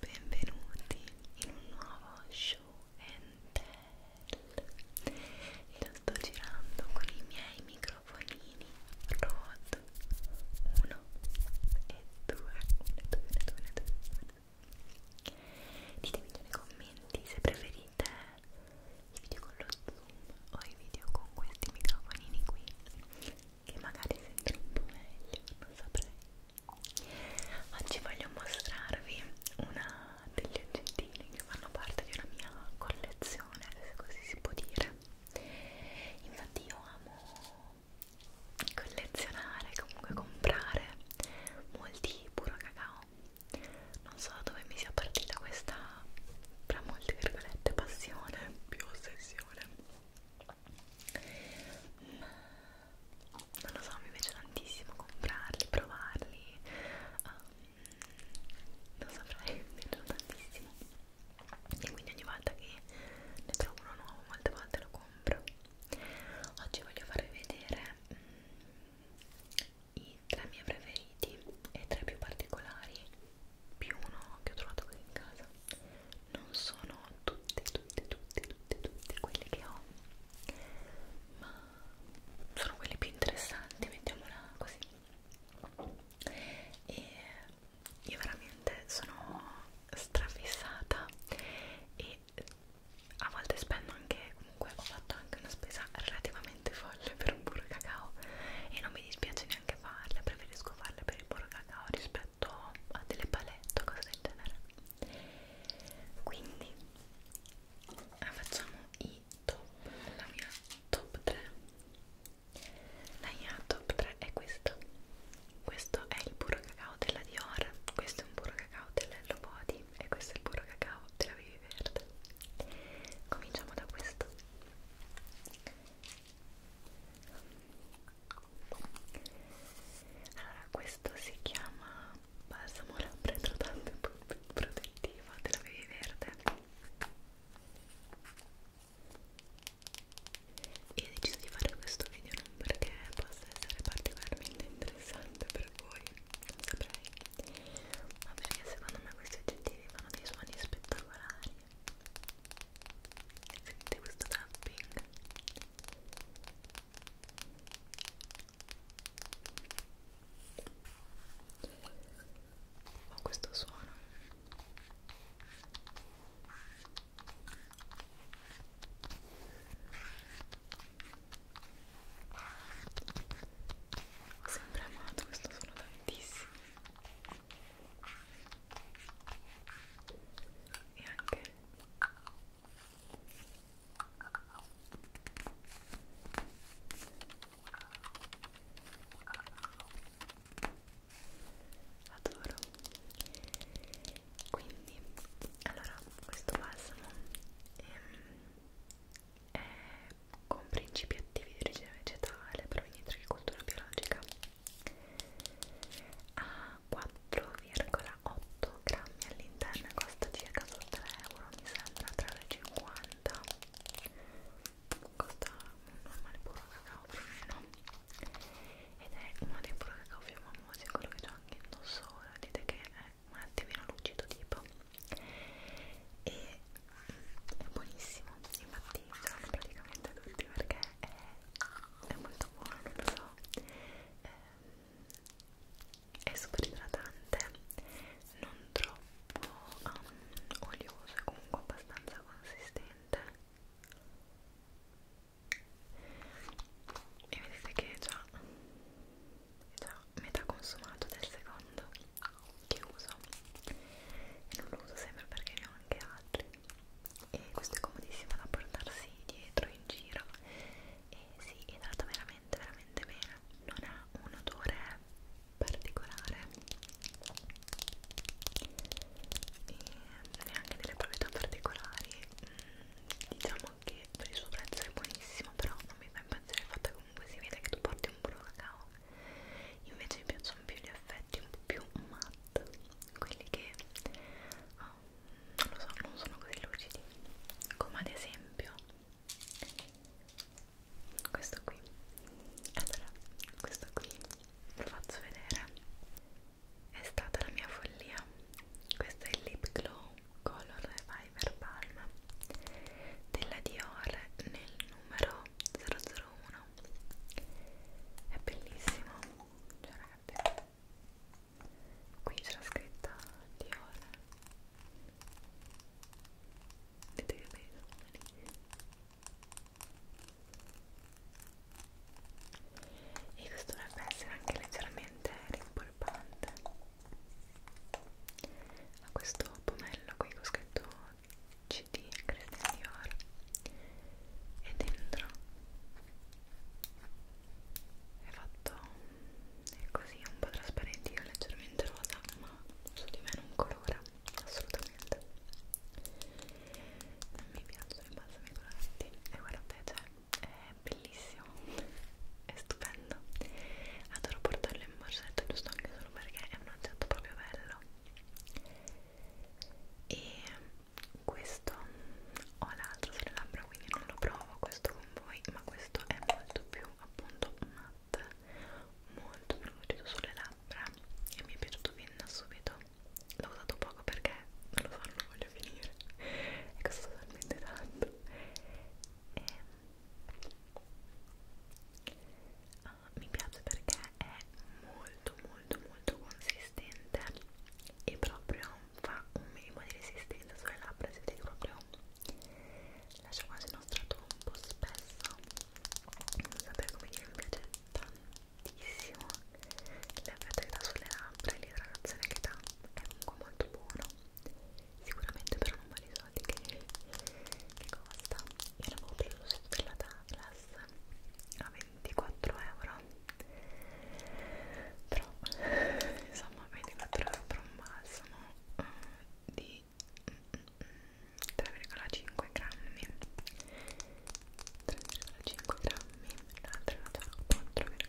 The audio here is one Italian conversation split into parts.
Benvenuti in un nuovo show and tell e lo sto girando con i miei microfonini Rode 1 e 2 1, 2, 2, 2 ditemi nei commenti se preferite i video con lo zoom o i video con questi microfonini qui che magari sentono un po' meglio, non saprei Oggi voglio mostrarvi una degli oggettini che fanno parte di una mia collezione, se così si può dire. Infatti io amo collezionare, comunque comprare molti puro cacao. Non so dove mi sia partita questa, tra molte virgolette, passione più ossessione. Ma non lo so, mi piace tantissimo comprarli, provarli um, non saprei, mi piacciono tantissimo e quindi ogni volta che ne trovo uno nuovo molte volte lo compro oggi voglio farvi vedere mm, i tre miei preferiti e tre più particolari più uno che ho trovato qui in casa non sono tutte, tutte, tutte, tutte, tutte quelle che ho, ma sono quelle più interessanti, mettiamola così. E io veramente sono strafissata e a volte spendo anche, comunque ho fatto anche una spesa relativamente folle per un burro cacao e non mi dispiace neanche farla, preferisco farla per il burro cacao rispetto fatto a delle palette o cose del genere quindi ah, facciamo i top la mia top 3 la mia top 3 è questa questo è il burro cacao della Dior questo è un burro cacao dell'Hello Body e questo è il burro cacao della Vivi Verde cominciamo da questo allora questo si chiama balsamo labbra idratante protettiva della Vivi Verde io ho deciso di fare questo video non perché possa essere particolarmente interessante per voi non saprei ma perché secondo me questi oggettivi fanno dei suoni spettacolari sentite questo tapping ho questo suono ho sempre amato questo suono tantissimo e anche adoro quindi allora questo balsamo ehm, è con principi attivi di origine vegetale provenienti dall'agricoltura biologica a 4,8 grammi all'interno costa circa solo 3 euro mi sembra 3,50 costa un normale puro cacao più o meno ed è uno dei puro cacao più famosi quello che ho anche indosso ora dite che è un attimino lucido tipo e è buonissimo infatti sono praticamente tutti perché è, è molto buono, non lo so, è, ehm, è super idratante, non troppo um, olioso, è comunque abbastanza consistente e vedete che è già, è già metà consumato del secondo che uso e non lo uso sempre perché ne ho anche altri e questo è comodissimo da portarsi dietro in giro e si idrata veramente veramente bene non ha un odore particolare e neanche delle proprietà particolari mm, diciamo che per il suo prezzo è buonissimo però non mi fa impazzire il fatto che comunque si vede che tu porti un burro cacao invece mi piacciono più gli effetti un po' più matte quelli che oh, non lo so, non sono così lucidi come ad esempio questo qui allora questo qui lo faccio vedere è stata la mia follia questo è il lip glow color reviver palm della Dior nel numero dentro uno è bellissimo cioè ragazzi qui c'è la scritta Dior vedete che bello e questo dovrebbe essere anche leggermente rimpolpante a questo pomello qui che ho scritto CD Christian Dior e dentro è fatto è così un po' trasparente io leggermente rosa ma su di me non colora assolutamente non mi piacciono i balsami coloranti e guardate cioè è bellissimo è stupendo adoro portarlo in borsetta giusto anche solo perché è un oggetto proprio bello e questo ho l'altro sulle labbra quindi non lo provo questo con voi ma questo è molto più appunto matte molto più lucido sulle labbra e mi è piaciuto fin da subito l'ho usato poco perché non lo so non lo voglio finire è costato talmente tanto e uh, mi piace perché è molto molto molto consistente e proprio fa un minimo di resistenza sulle labbra siete proprio lascia quasi uno strato un po' spesso non sapete come dire mi piace tantissimo l'effetto che dà sulle labbra e l'idratazione che dà è comunque molto buono sicuramente per un po' di soldi che, che costa io l'avevo preso su della, della Plus a 24 euro però insomma 24 euro per un balsamo di 3,5 grammi 3,5 grammi l'altro era già 4,8 grammi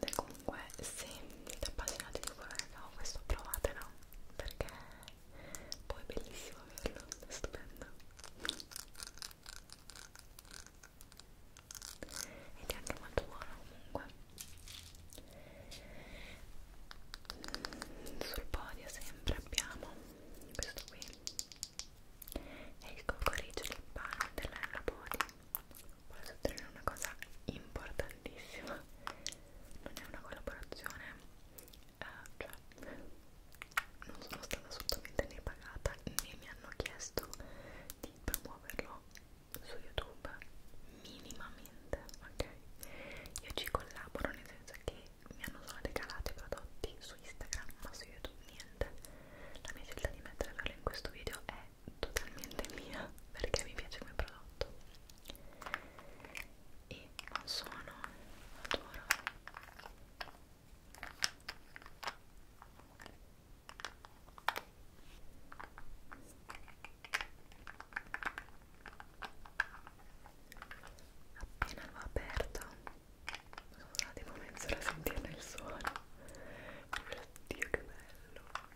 grande comunque se siete appassionati di colore questo provatelo perché poi è bellissimo averlo è stupendo ed è anche molto buono comunque mm, sul podio sempre abbiamo questo qui è il cocorice del pane della Body voglio sottolineare una cosa importantissima non è una collaborazione eh, cioè non sono stata assolutamente né pagata né mi hanno chiesto di promuoverlo su youtube minimamente ok io ci collaboro nel senso che mi hanno solo regalato i prodotti su instagram ma su youtube niente la mia scelta di metterlo in questo video è totalmente mia perché mi piace come prodotto e non sono adoro appena l'ho aperto sono stata tipo mezz'ora a sentirne il suono oddio che bello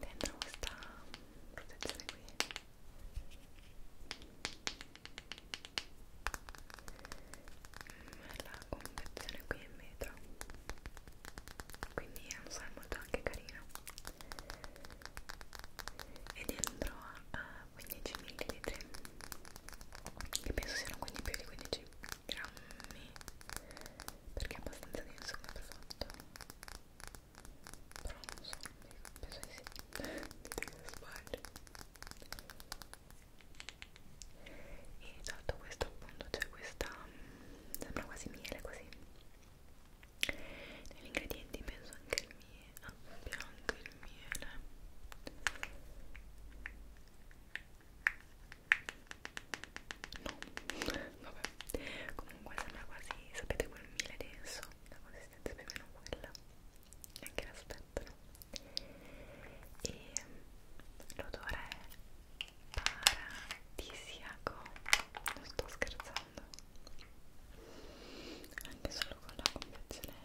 dentro questa protezione qui mm, la confezione qui è in vetro quindi è un so, molto anche carino e dentro ha 15 ml che penso siano quindi più di 15 grammi perché è abbastanza denso come prodotto però non so, penso di sì che sbaglio e sotto questo appunto c'è questa mm, sembra quasi miele così negli ingredienti penso anche il miele abbia ah, anche il miele No, vabbè. Comunque sembra quasi, sapete quel miele denso, la consistenza è più o meno quella. Anche l'aspetto, no? E l'odore è paradisiaco. Non sto scherzando. Anche solo con la confezione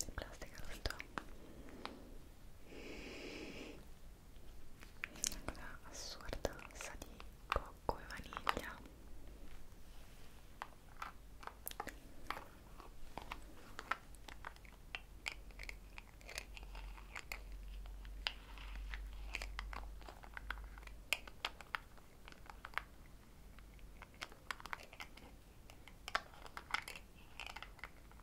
in plastica lo sto una cosa assurda sa di cocco e vaniglia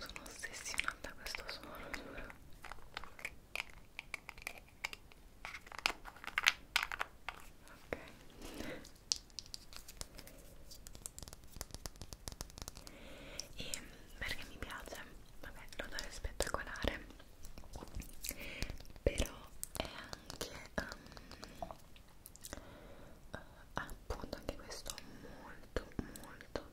sono ossessionata a questo suono giuro ok e ehm, perché mi piace vabbè l'odore è spettacolare però è anche um, uh, appunto anche questo molto molto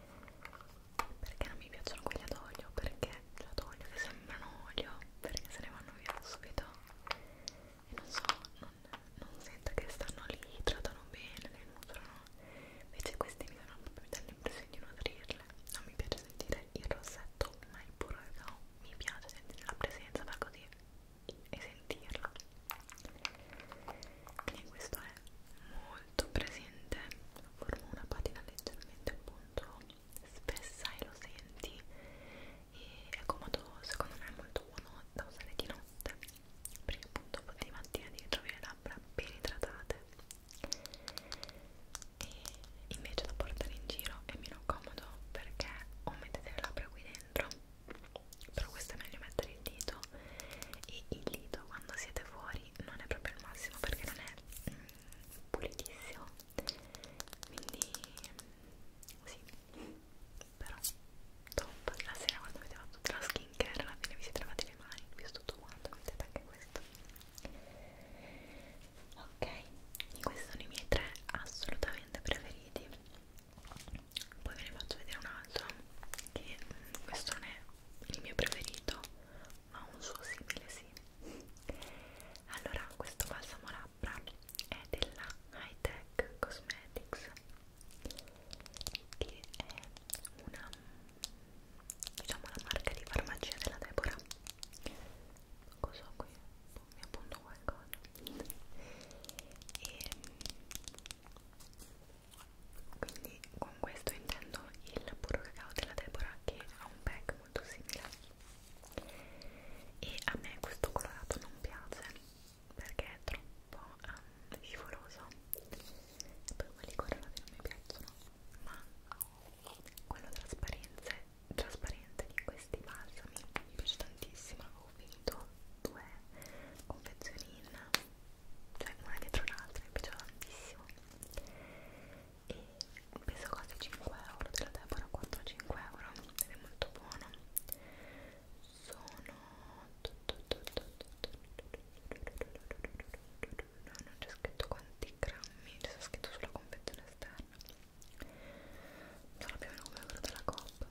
perché non mi piacciono quelli ad olio perché ad olio che sembrano olio perché se ne vanno via subito e non so non, non sento che stanno lì trattano bene le nutrono invece questi mi danno proprio l'impressione di nutrirle non mi piace sentire il rossetto ma il burro no mi piace sentire la presenza per così e sentirla quindi questo è molto presente forma una patina leggermente appunto spessa e lo senti e è comodo secondo me è molto buono da usare di notte perché appunto poi di mattina devi trovare le labbra ben idratate e invece da portare in giro è meno comodo perché o mettete le labbra qui dentro però questo è meglio mettere il dito e il dito quando siete fuori non è proprio il massimo perché non è mm, pulitissimo quindi sì però top la sera quando avete fatto tutta la skin care alla fine vi siete lavate le mani visto tutto quanto mettete anche questo ok quindi questi sono i miei tre assolutamente preferiti poi ve ne faccio vedere un altro che mm, questo non è il mio preferito ma un suo simile sì allora questo balsamo labbra è della High Tech Cosmetics che è una diciamo la marca di farmacia della Deborah cosa ho qui? mi appunto qualcosa e quindi con questo intendo il puro cacao della Deborah che ha un pack molto simile e a me questo colorato non piace perché è troppo um, scivoloso e poi quelli colorati non mi piacciono ma quello trasparente, trasparente di questi balsami mi piace tantissimo finito due confezioni in cioè una dietro l'altra, mi piaceva tantissimo e peso quasi 5 euro della Deborah 4-5 euro ed è molto buono sono non c'è scritto quanti grammi c'è scritto sulla confezione esterna sono più o meno come quello della Coop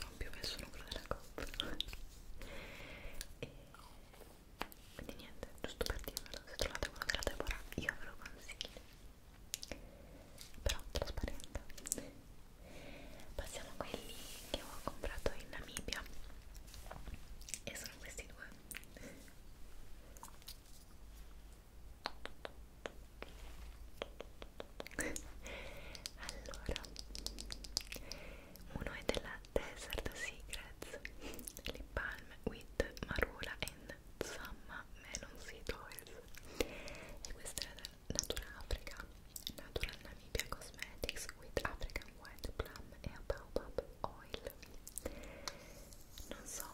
non più messo il numero della coppa e quindi niente, giusto per dirvelo se trovate quello della Deborah io ve lo consiglio però trasparente passiamo a quelli che ho comprato in Namibia e sono questi due allora uno è della Desert Secrets Lip Balm with Marula and Samma Melon Seed Oils e questa è Africa Natural Namibia Cosmetics with African White Plum e Baobab Oil non so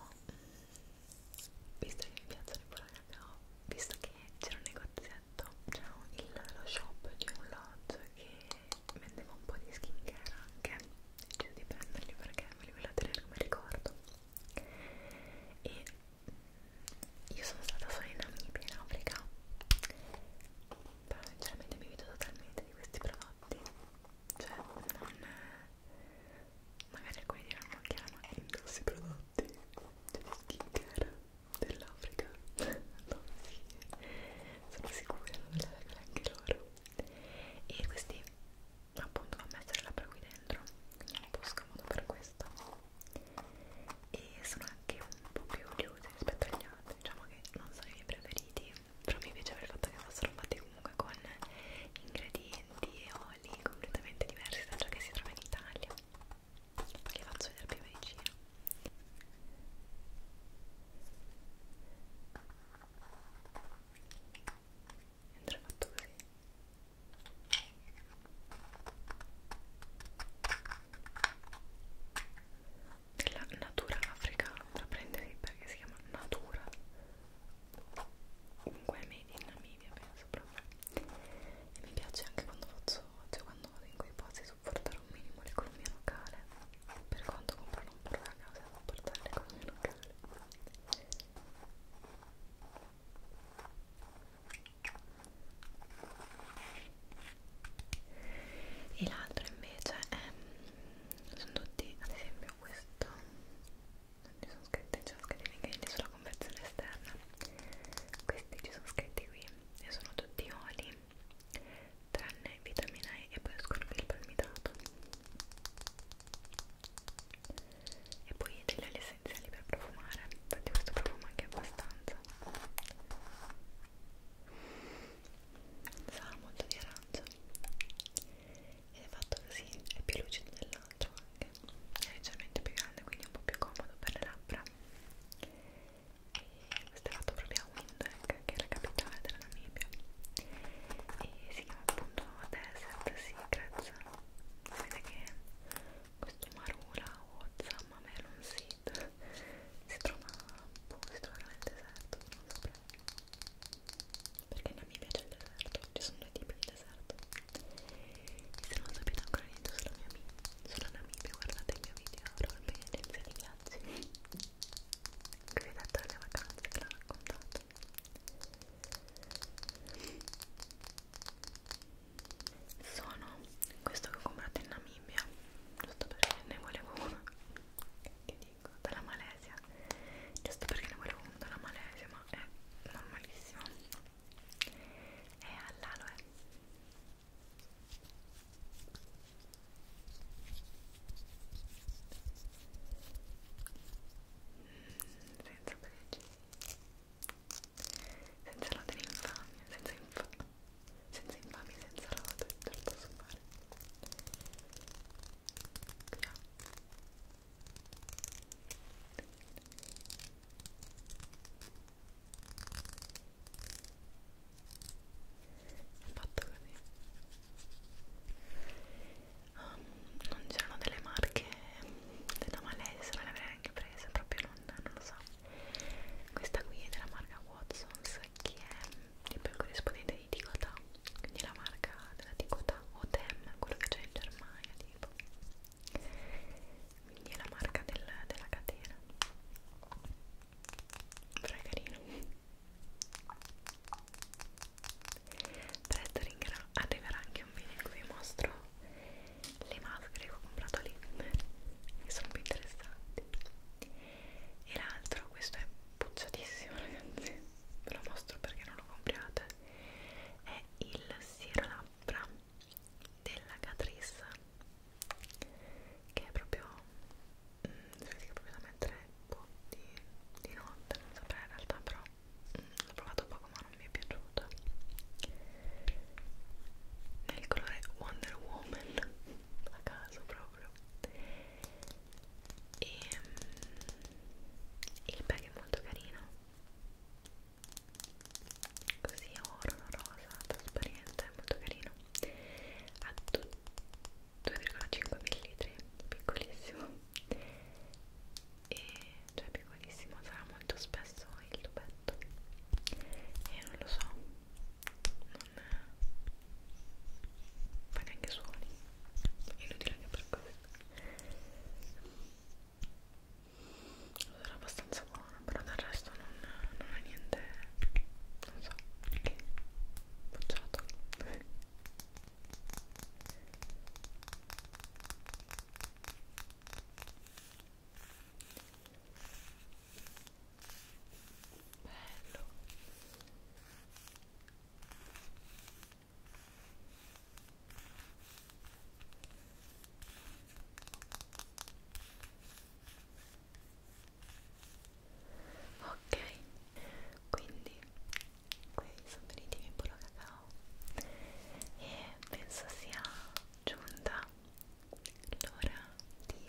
visto che mi piacciono i burger abbiamo visto che c'era un negozietto c'era lo shop di un lodge che vendeva un po' di skincare anche deciso di prenderli perché me li volevo tenere come ricordo e io sono stata solo in Namibia in Africa però sinceramente mi vedo totalmente di questi prodotti cioè non magari alcuni diranno anche la ma indossi prodotti della skincare dell'Africa no, sì. sono sicura non la vedono anche loro e questi appunto va a mettere labbra qui dentro quindi è un po' scomodo per questo e sono anche un po' più chiusi rispetto agli altri diciamo che non sono i miei preferiti però mi piaceva il fatto che fossero fatti comunque con ingredienti e colli completamente diversi da ciò che si trova in Italia poi li faccio vedere più vicino entra fatto così della natura africana da prenderli perché si chiama natura comunque è made in Namibia penso proprio e mi piace anche quando faccio cioè quando vado in quei posti supportare un minimo l'economia locale per quanto comprano un porto a casa supportare l'economia locale e l'altro invece è mm, sono tutti ad esempio questo non ci sono scritte, ci sono scritti gli ingredienti sulla confezione esterna questi ci sono scritti qui e sono tutti oli tranne vitamina E e poi escono il palmitato e poi degli oli essenziali per profumare infatti questo profuma anche abbastanza sa molto di arancio ed è fatto così, è più lucido dell'altro anche è leggermente più grande quindi è un po' più comodo per le labbra e questo è fatto proprio a Windhoek che è la capitale della Namibia e si chiama appunto Desert Secrets vedete che questo Marula o Zamma Melon Seed si trova, boh, si trova nel deserto non so perché non mi piace il deserto, ci sono due tipi di deserto e se non sapete ancora niente sulla mia sulla Namibia guardate il mio video Europea Agenzia di Viaggi che vi ho detto alle vacanze che l'ho raccontato sono questo che ho comprato in Namibia giusto perché ne volevo uno che vengo dalla Malesia giusto perché ne volevo uno dalla Malesia ma è normalissimo è all'aloe eh. mm, senza pregi senza lode di infamia senza infamia senza infamia senza lode te lo posso fare qui ho fatto così um, non c'erano delle marche della Malesia, me le avrei anche prese proprio non, non lo so questa qui è della marca Watsons che è il corrispondente di Ticota, quindi la marca della Ticota o Dem, quello che c'è in Germania tipo quindi è la marca del, della catena però è carino presto arriverà anche un video in cui vi mostro le maschere che ho comprato lì che sono più interessanti e l'altro questo è puzzatissimo ragazzi ve lo mostro perché non lo compriate è il sirolabbra della Catrice che è proprio mh, mm, si vede che proprio da mettere boh, di, di notte non saprei in realtà però mm, l'ho provato poco ma non mi è piaciuta nel colore Wonder Woman a caso proprio e ehm, il bag è molto carino così oro rosa trasparente molto carino ha 2,5 ml piccolissimo e cioè piccolissimo sarà molto spesso il tubetto e non lo so non fa neanche suoni inutile anche per questo allora abbastanza buona però del resto non, non è niente non so che bocciato bello Ok, quindi qui sono finiti i miei burro cacao e penso sia giunta l'ora di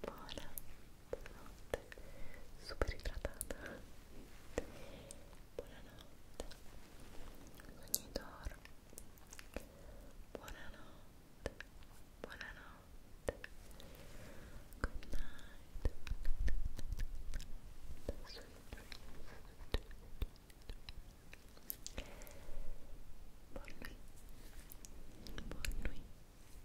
buona buonanotte super idratata buonanotte sogni d'oro buonanotte buonanotte good night sweet dreams